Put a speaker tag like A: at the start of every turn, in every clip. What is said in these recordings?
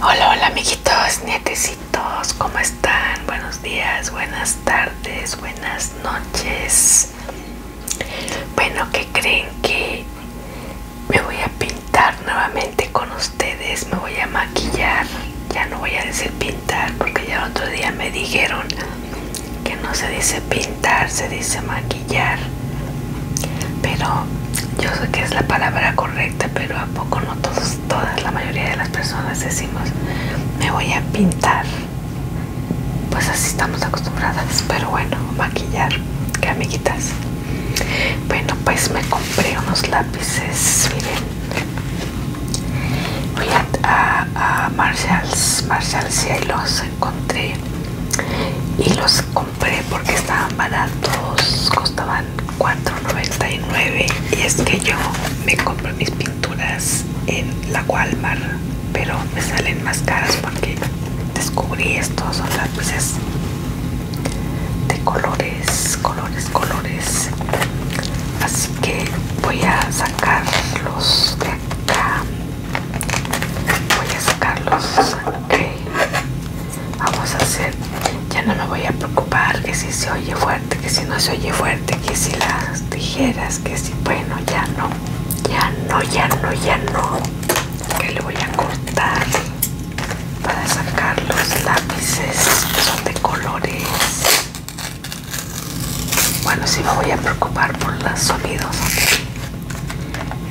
A: Hola, hola amiguitos, nietecitos, ¿cómo están? Buenos días, buenas tardes, buenas noches. Bueno, ¿qué creen que me voy a pintar nuevamente con ustedes? Me voy a maquillar. Ya no voy a decir pintar porque ya el otro día me dijeron que no se dice pintar, se dice maquillar. Pero yo sé que es la palabra correcta, pero a poco no todos, todas, la mayoría de las personas decimos me voy a pintar. Pues así estamos acostumbradas, pero bueno, maquillar, que amiguitas. Bueno, pues me compré unos lápices, miren. voy a, a, a Marshalls, Marshalls y ahí los encontré y los compré porque estaban baratos, costaban $4.99 y es que yo me compré mis pinturas en la Walmart, pero me salen más caras porque descubrí estos son lápices de colores, colores, colores. Así que voy a sacarlos de acá. Voy a sacarlos vamos a hacer ya no me voy a preocupar que si se oye fuerte que si no se oye fuerte que si las tijeras que si bueno ya no ya no ya no ya no que le voy a cortar para sacar los lápices son de colores bueno si me voy a preocupar por los sonidos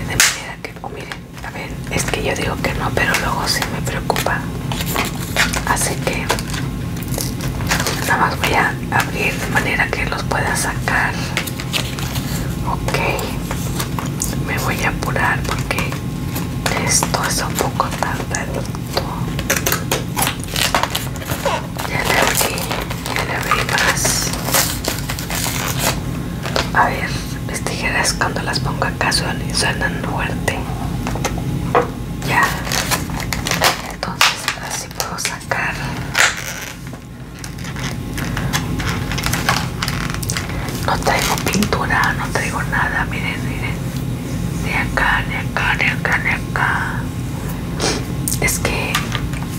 A: de manera que miren a ver, es que yo digo que no, pero luego sí me preocupa. Así que nada más voy a abrir de manera que los pueda sacar. Ok, me voy a apurar porque esto es un poco tarde, Ya le abrí, ya le abrí más. A ver mis tijeras cuando las pongo acá suenan, suenan fuerte. Ya. Entonces así puedo sacar. No traigo pintura, no traigo nada, miren, miren. Ni acá, ni acá, ni acá, ni acá. Es que,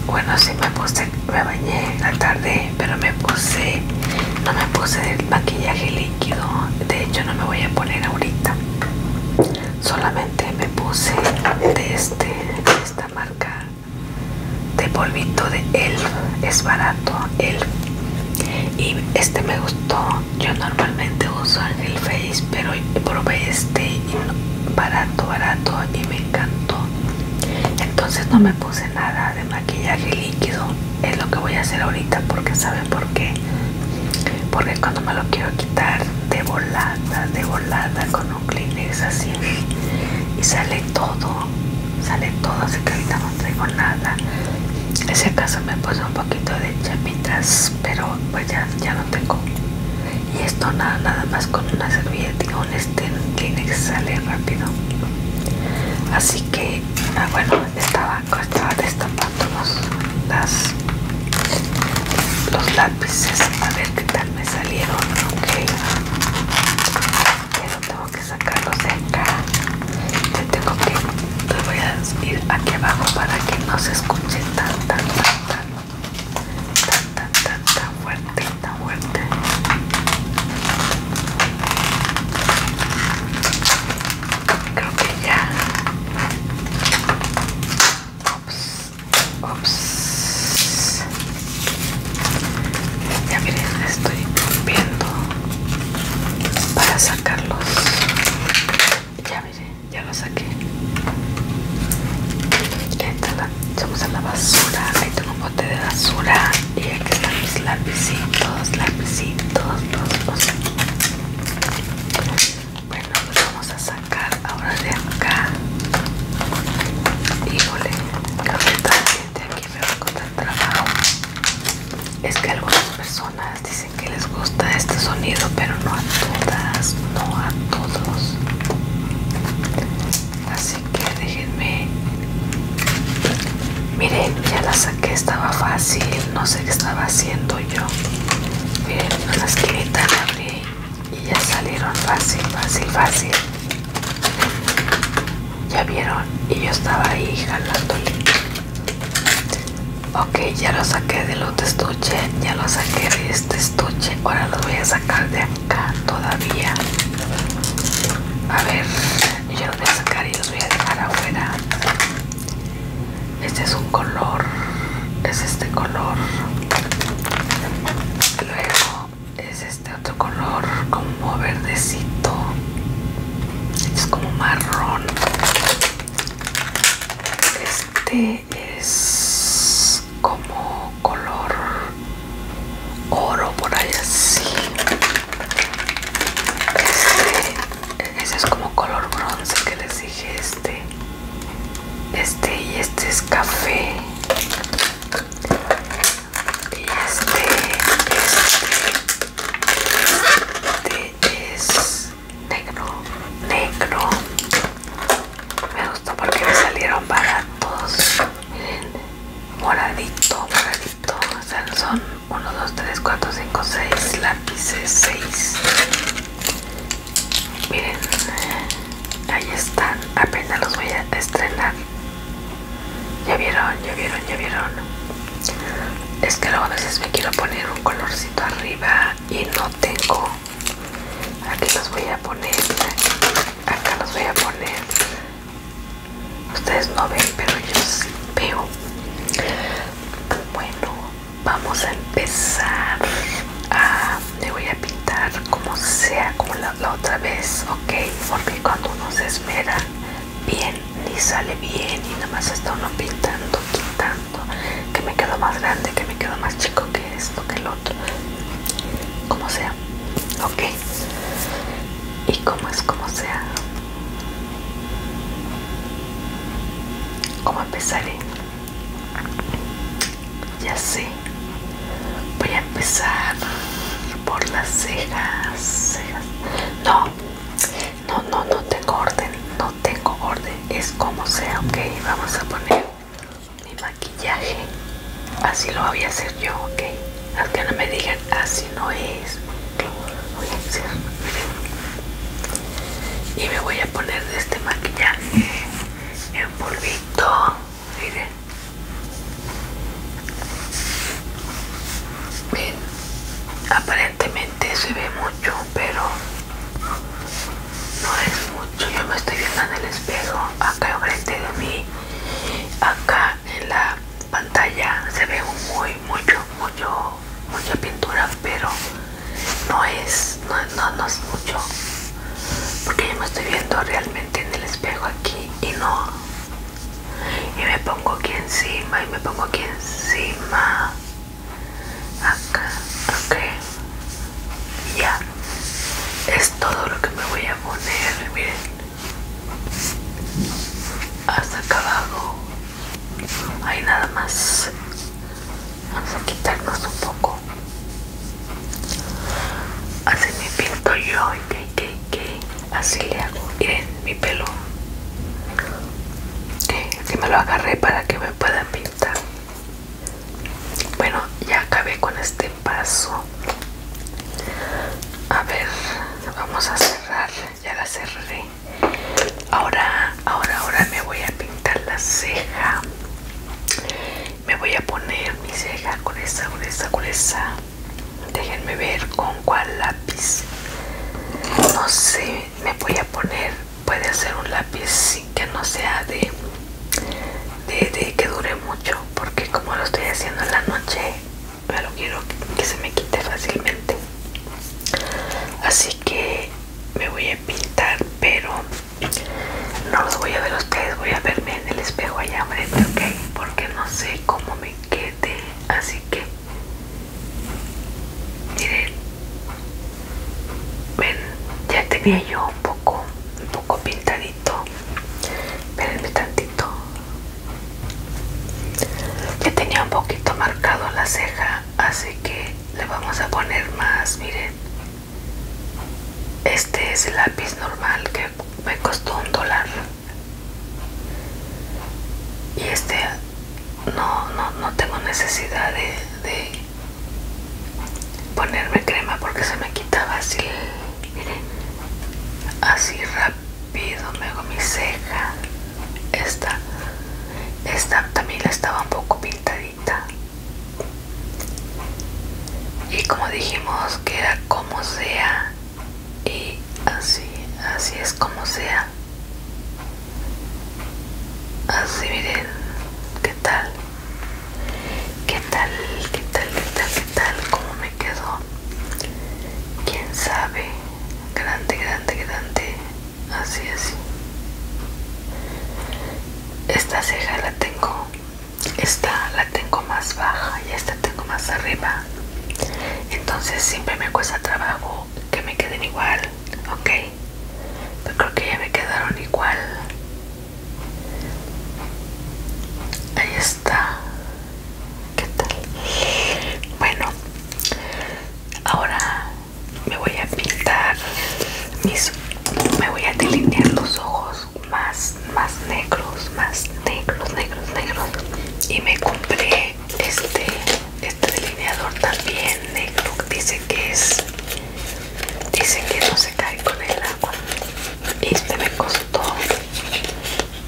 A: bueno, si me puse, me bañé en la tarde pero me puse no me puse el maquillaje líquido de hecho no me voy a poner ahorita solamente me puse de este de esta marca de polvito de elf es barato elf y este me gustó yo normalmente uso el face pero probé este barato barato y me encantó entonces no me puse nada de maquillaje líquido es lo que voy a hacer ahorita porque saben por qué porque cuando me lo quiero quitar de volada de volada con un kleenex así y sale todo sale todo así que ahorita no tengo nada en ese caso me puse un poquito de chapitas pero pues ya, ya no tengo y esto nada, nada más con una servilleta un este kleenex sale rápido así que ah, bueno estaba, destapando los, los lápices a ver qué tal me salieron ok pero tengo que sacarlos de acá yo tengo que voy a ir aquí abajo para que no se escuche tan tan tan tan tan tan tan, tan fuerte tan fuerte Creo que ya. Ops. Ops. Ya miren, estoy rompiendo para sacarlos. Ya miren, ya los saqué. ya está la basura. Ahí tengo un bote de basura. Y aquí están mis todos lápizitos, los, todos. Bueno, los pues vamos a sacar ahora de acá. Híjole, cafeta de aquí me va a costar trabajo. Es que algunas personas dicen que les gusta este sonido, pero no a todas, no a todos. Así que déjenme Miren, ya la saqué, estaba fácil, no sé qué estaba haciendo yo. Miren, una la esquinita abrí y ya salieron fácil, fácil, fácil. Ya vieron, y yo estaba ahí jalándole. Ok, ya lo saqué del otro estuche, ya lo saqué de este estuche, ahora lo voy a sacar de acá todavía. A ver yo ya los voy a sacar y los voy a dejar afuera este es un color es este color luego es este otro color como verdecito este es como marrón este es como color oro por ahí así este ese es como color bronce que les dije este este y este es café y este este este es negro negro me gustó porque me salieron baratos moradito moradito o son 1, 2, 3, 4, 5, 6 lápices 6 miren ahí están apenas los voy a estrenar ya vieron ya vieron ya vieron es que luego a veces me quiero poner un colorcito arriba y no tengo aquí los voy a poner acá los voy a poner Ustedes no ven, pero yo sí veo. Bueno, vamos a empezar. A, ah, le voy a pintar como sea, como la, otra vez, ¿ok? Porque cuando uno se espera bien, ni sale bien, y nada más está uno pintando, quitando, que me quedo más grande, que me quedo más chico que esto, que el otro, como sea, ¿ok? Y como es como sea, ¿Cómo empezaré? Ya sé. Voy a empezar por las cejas. No, no, no, no tengo orden. No tengo orden. Es como sea, ok. Vamos a poner mi maquillaje. Así lo voy a hacer yo, ok. Hasta que no me digan así no es. Y me voy a poner de este maquillaje en polvito. Miren. Aparentemente se ve mucho, pero no es mucho. Yo me estoy viendo en el espejo, acá frente de mí, acá en la pantalla se ve muy mucho mucho mucha pintura pero no es no, no, no es mucho porque yo me estoy viendo realmente en el espejo aquí y no y me pongo aquí encima y me pongo aquí encima acá ok ya es todo lo que me voy a poner miren hasta acabado ahí nada más vamos a quitarnos un poco así me pinto yo así le hago miren mi pelo que me lo agarré para que me puedan pintar bueno ya acabé con este paso a ver vamos a cerrar ya la cerré. Ahora, ahora, ahora me voy a pintar la ceja. Me voy a poner mi ceja con esa, con esa, con esa. Déjenme ver con cuál lápiz. No sé, me voy a poner. Puede ser un lápiz que no sea de, de que dure mucho, porque como lo estoy haciendo en la noche, pero quiero que se me quite fácilmente así que me voy a pintar pero no los voy a ver ustedes voy a verme en el espejo allá frente ok porque no sé cómo me quede así que miren ven ya tenía yo un poco un poco pintadito espérenme tantito que tenía un poquito marcado la ceja así que le vamos a poner más miren este es el lápiz normal que me costó un dólar y este no no tengo necesidad de, ponerme crema porque se me quitaba así así rápido pido, me hago mi ceja. Esta, esta también la estaba un poco pintadita. Y como dijimos, que era como sea. Y así, así es como sea. Así miren, ¿qué tal? ¿Qué tal? ¿Qué tal? ¿Qué tal? ¿Qué tal? como me quedó? ¿Quién sabe? grande, grande, grande, así, así. Esta ceja la tengo, esta la tengo más baja y esta tengo más arriba. Entonces siempre me cuesta trabajo que me queden igual, ¿ok? Pero creo que ya me quedaron igual. Ahí está. ¿Qué tal? Bueno, ahora me voy a pintar mis me voy a delinear los ojos más más negros más negros negros negros y me compré este este delineador también negro dice que es dice que no se cae con el agua y este me costó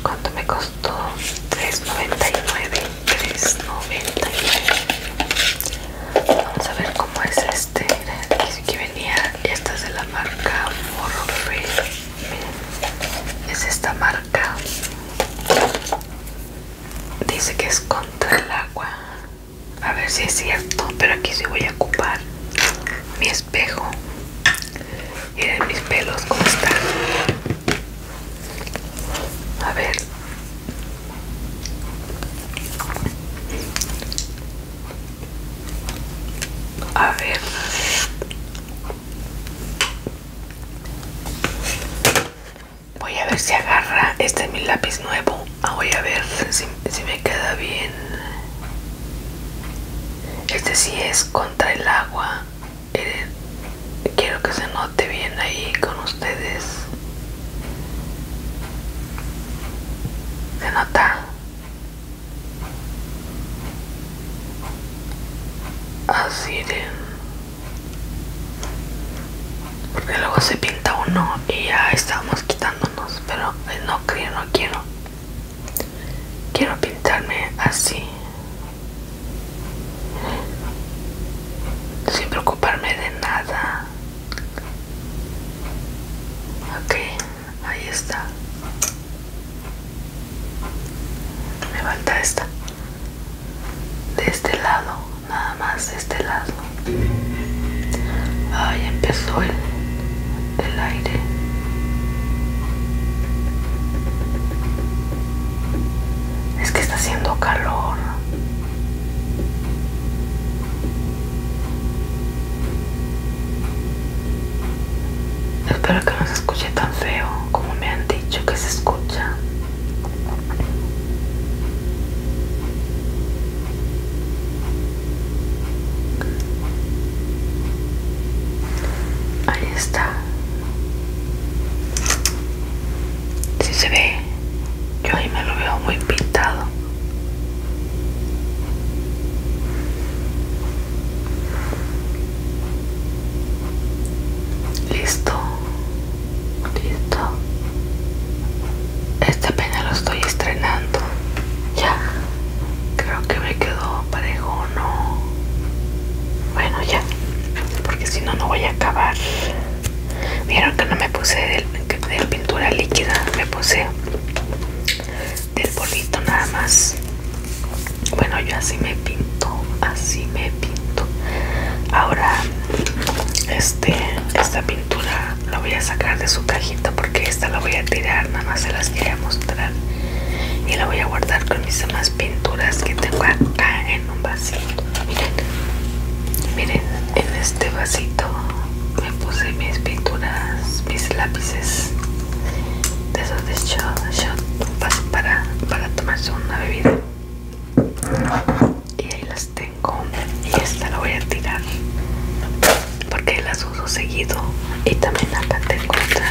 A: ¿Cuánto me costó? 3.99 3.99 Vamos a ver cómo es este Dice que venía Esta es de la marca Miren, Es esta marca Dice que es contra el agua A ver si es cierto Pero aquí sí voy a ocupar Mi espejo Miren mis pelos cómo están a ver. A ver, Voy a ver si agarra. Este es mi lápiz nuevo. Ah, voy a ver si, si me queda bien. Este sí es contra el agua. Eh, quiero que se note bien ahí con ustedes se nota así Irene. porque luego se pinta uno y ya estamos quitándonos pero eh, no creo no quiero quiero pintarme así sin preocuparme de nada ok ahí está me falta esta de este lado nada más de este lado ahí empezó el, el aire es que está haciendo calor. Espero que no se escuche tan feo como me han dicho que se escucha. Ahí está. Si se ve, yo ahí me lo veo muy pintado. Listo, listo. Este pena lo estoy estrenando. Ya, creo que me quedó parejo, no. Bueno, ya porque si no no voy a acabar vieron que no me puse de, de pintura líquida me puse del polvito nada más bueno yo así me pinto así me pinto ahora este esta pintura la voy a sacar de su cajita porque esta la voy a tirar nada más se las quería mostrar y la voy a guardar con mis demás pinturas que tengo acá en un vasito miren miren en este vasito me puse mis pinturas mis lápices de esos de shot, shot para, para tomarse una bebida y ahí las tengo y esta la voy a tirar porque las uso seguido y también acá tengo otra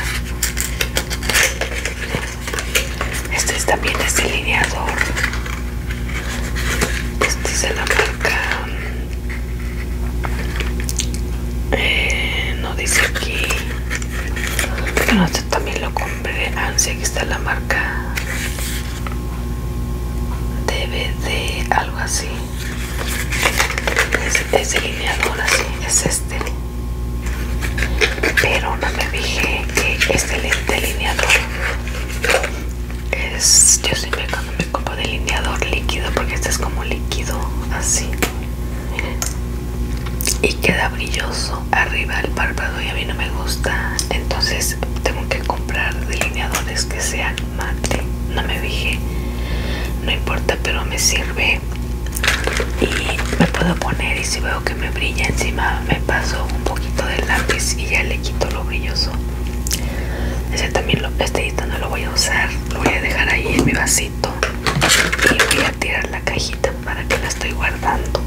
A: este también es delineador. Este es de la marca. Eh, no dice aquí. Bueno, este también lo compré. antes ah, aquí está la marca. DVD, algo así. Es, es delineador así. Es este pero no me dije que este delineador es yo siempre cuando me compro delineador líquido porque este es como líquido así y queda brilloso arriba del párpado y a mí no me gusta entonces tengo que comprar delineadores que sean mate no me dije no importa pero me sirve y me puedo poner y si veo que me brilla encima me pasó un poquito de lápiz y ya le quito lo brilloso ese también lo, este no lo voy a usar lo voy a dejar ahí en mi vasito y voy a tirar la cajita para que la estoy guardando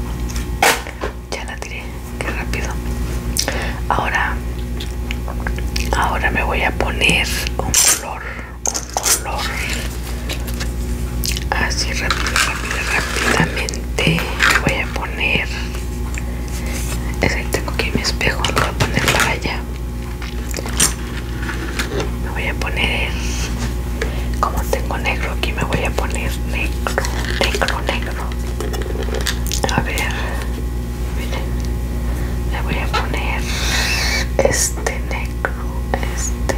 A: ya la tiré qué rápido ahora ahora me voy a poner un color un color así rápido rápido rápidamente me voy a poner que tengo aquí mi espejo lo voy a poner para allá me voy a poner como tengo negro aquí me voy a poner negro negro a ver le voy a poner este negro este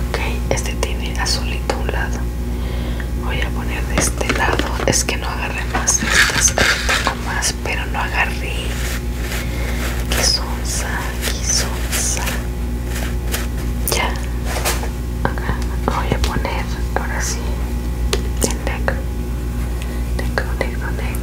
A: ok este tiene azulito a un lado voy a poner de este lado es que no agarré más estas más pero no agarré que sonza ya acá voy a poner ahora sí el negro negro negro negro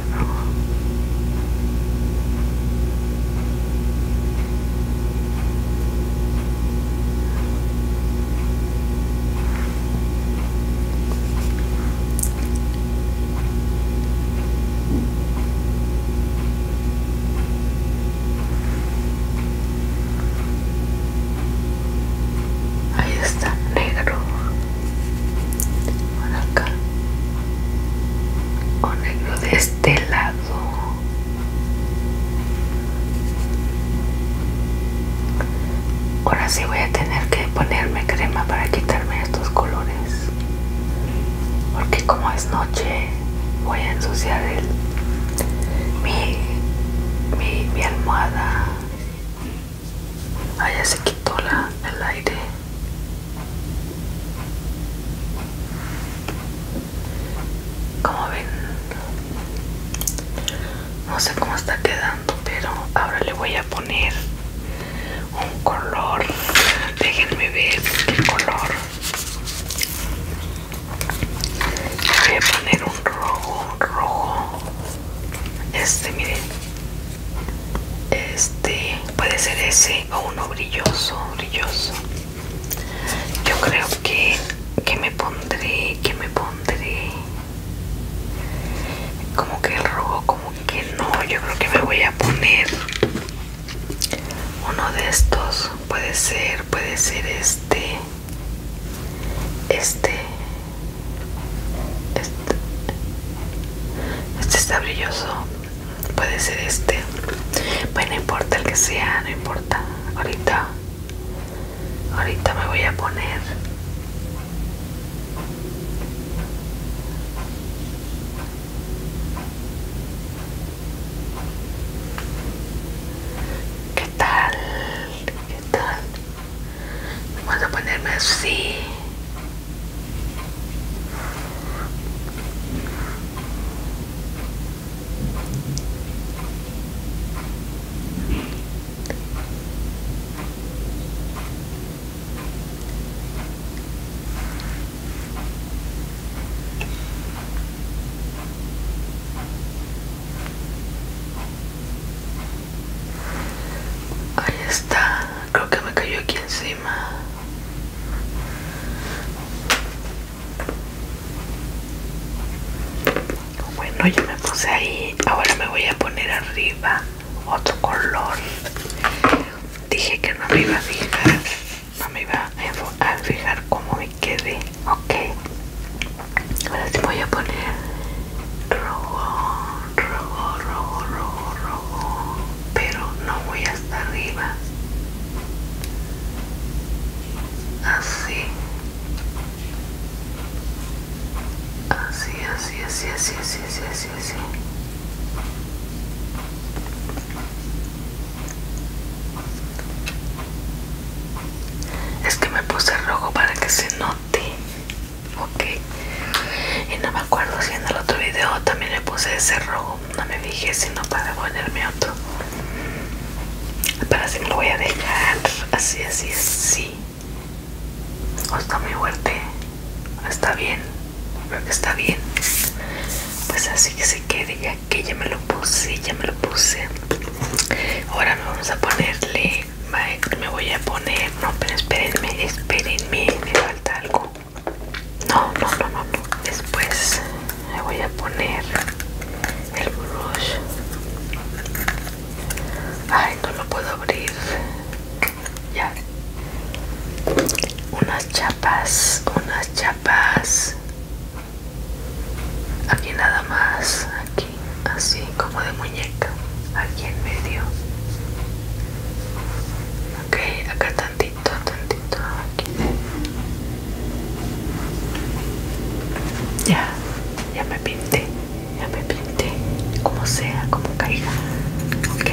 A: Ahí está, negro. Por acá. O negro de este lado. Ahora sí voy a tener que ponerme crema para quitarme estos colores. Porque como es noche voy a ensuciar mi, mi, almohada. Allá ah, ya se quitó el aire como ven no sé cómo está quedando pero ahora le voy a poner un color déjenme ver el color voy a poner un rojo rojo este miren este puede ser ese o uno brilloso brilloso yo creo que, que me pondré, que me pondré como que el rojo, como que no. Yo creo que me voy a poner uno de estos. Puede ser, puede ser este, este, este, este está brilloso. Puede ser este, bueno, no importa el que sea, no importa. Ahorita Ahorita me voy a poner ¿Qué tal? ¿Qué tal? Vamos a ponerme así. Ahí está, creo que me cayó aquí encima. Bueno, yo me puse ahí. Ahora me voy a poner arriba otro color. Dije que no me iba a fijar. No me iba a fijar cómo me quedé. Ok. Ahora sí voy a poner rojo, rojo, rojo, rojo, rojo. Pero no voy hasta arriba así así así así así así así así es que me puse rojo para que se note ok y no me acuerdo si en el otro video también le puse ese rojo no me fijé no para ponerme otro Parece me lo voy a dejar así, así, sí O está muy fuerte. Está bien. está bien. Pues así que se quede ya que ya me lo puse, ya me lo puse. Ahora me vamos a ponerle. Me voy a poner. No, pero espérenme, espérenme. Me falta algo. no, no, no, no. Después le voy a poner el brush ay no lo puedo abrir ya unas chapas unas chapas aquí nada más aquí así como de muñeca aquí en medio ok acá tantito tantito aquí ya, ya me pinté, ya me pinté, como sea, como caiga, ok.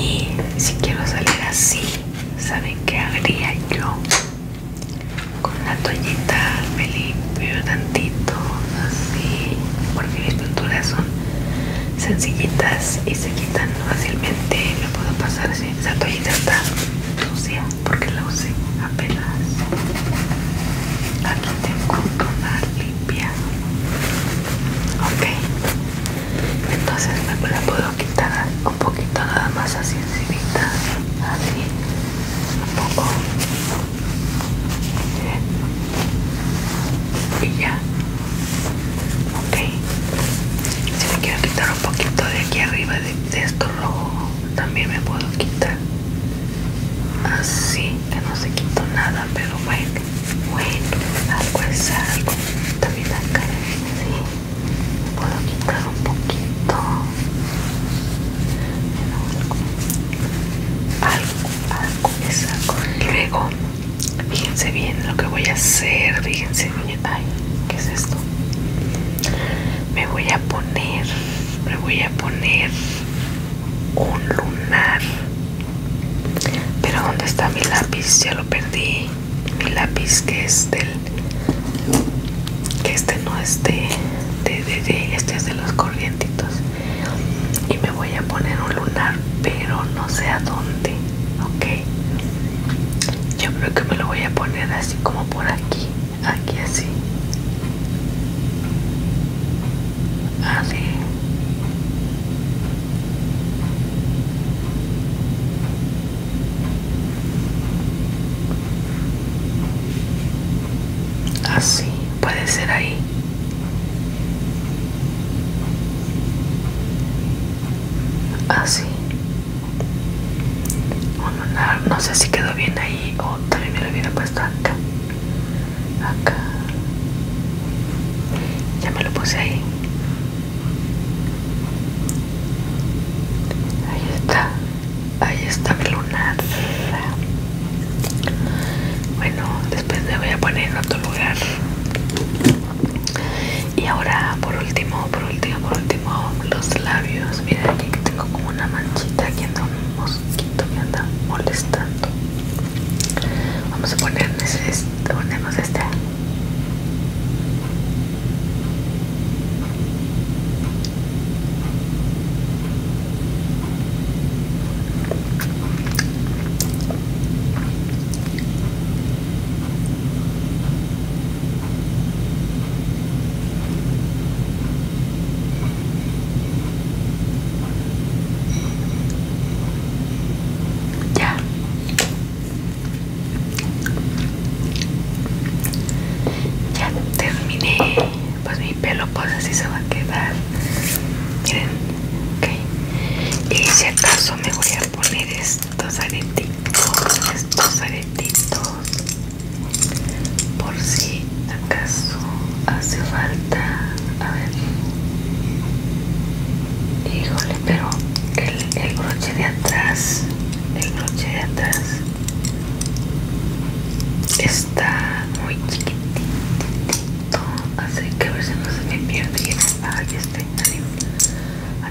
A: Y si quiero salir así, ¿saben qué haría yo? Con una toallita me limpio tantito, así, porque mis pinturas son sencillitas y se quitan fácilmente. No puedo pasar así, esa toallita está sucia porque la usé apenas. Aquí tengo una limpia. Ok. Entonces me la puedo quitar un poquito nada más así encima Así. Un poco. Y ya. Ok. Si me quiero quitar un poquito de aquí arriba de, de esto rojo también me puedo quitar así que no se quitó nada pero bueno bueno algo es algo también acá sí puedo quitar un poquito algo algo es algo luego fíjense bien lo que voy a hacer fíjense bien ay qué es esto me voy a poner me voy a poner un lunar pero dónde está mi lápiz ya lo perdí mi lápiz que es del que este no es de, de, de, este es de los corrientitos y me voy a poner un lunar pero no sé a dónde ok yo creo que me lo voy a poner así como por aquí aquí así así así puede ser ahí así un lunar, no sé si quedó bien ahí o también me lo hubiera puesto acá acá ya me lo puse ahí ahí está ahí está mi lunar bueno después me voy a poner en otro lugar y ahora por último por último, por último, los labios. Miren aquí que tengo como una manchita aquí anda un mosquito que anda molestando. Vamos a ponernos este. Ponemos este. Ya. Ya terminé. Pues mi pelo pues así se va a quedar. Miren, ok. Y si acaso me voy a poner estos aretitos, estos aretitos por si acaso hace falta a ver híjole pero el, broche de atrás el broche de atrás está muy chiquitito así que a ver si no se me pierde y está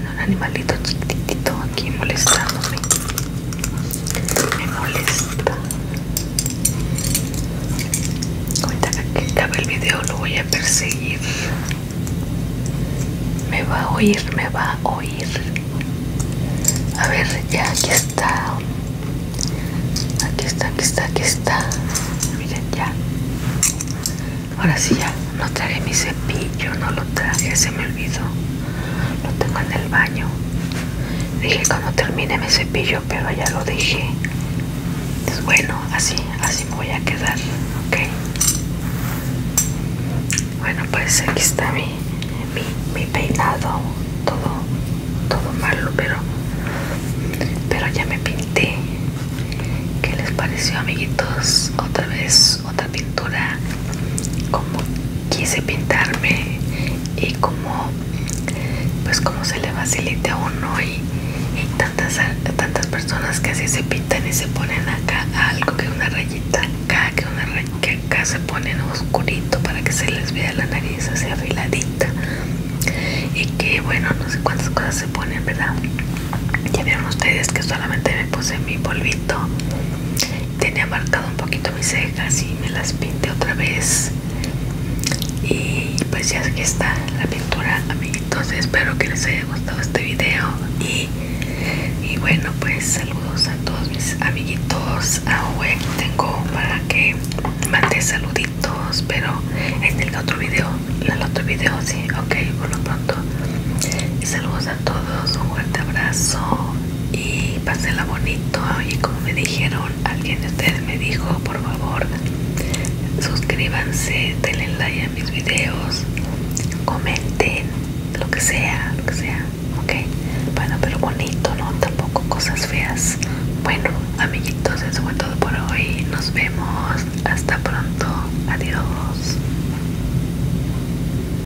A: un animalito chiquitito aquí molestándome me molesta Cuenta que acabe el video lo voy a perseguir me va a oír me va a oír a ver ya aquí está aquí está aquí está aquí está miren ya ahora sí ya no traje mi cepillo no lo traje se me olvidó lo tengo en el baño dije cuando termine me cepillo pero ya lo dije entonces pues bueno así así me voy a quedar ok bueno pues aquí está mi, mi, peinado todo todo malo pero pero ya me pinté ¿Qué les pareció amiguitos? Otra vez otra pintura como quise pintarme y como pues como se le facilite a uno y, tantas, tantas personas que así se pintan y se ponen acá algo que una rayita acá que una que acá se ponen oscurito para que se les vea la nariz así afiladita y que bueno no sé cuántas cosas se ponen verdad ya vieron ustedes que solamente me puse mi polvito tenía marcado un poquito mis cejas y me las pinté otra vez y pues ya está la pintura amiguitos espero que les haya gustado este video y, bueno pues saludos a todos mis amiguitos hueco ah, tengo para que mande saluditos pero en el otro video en el otro video sí ok por lo pronto saludos a todos, un fuerte abrazo y pasenla bonito. Y como me dijeron, alguien de ustedes me dijo, por favor, suscríbanse, denle like a mis videos, comenten, lo que sea, lo que sea, ok. Bueno, pero bonito, no tampoco cosas feas. Bueno, amiguitos, eso fue todo por hoy. Nos vemos. Hasta pronto. Adiós.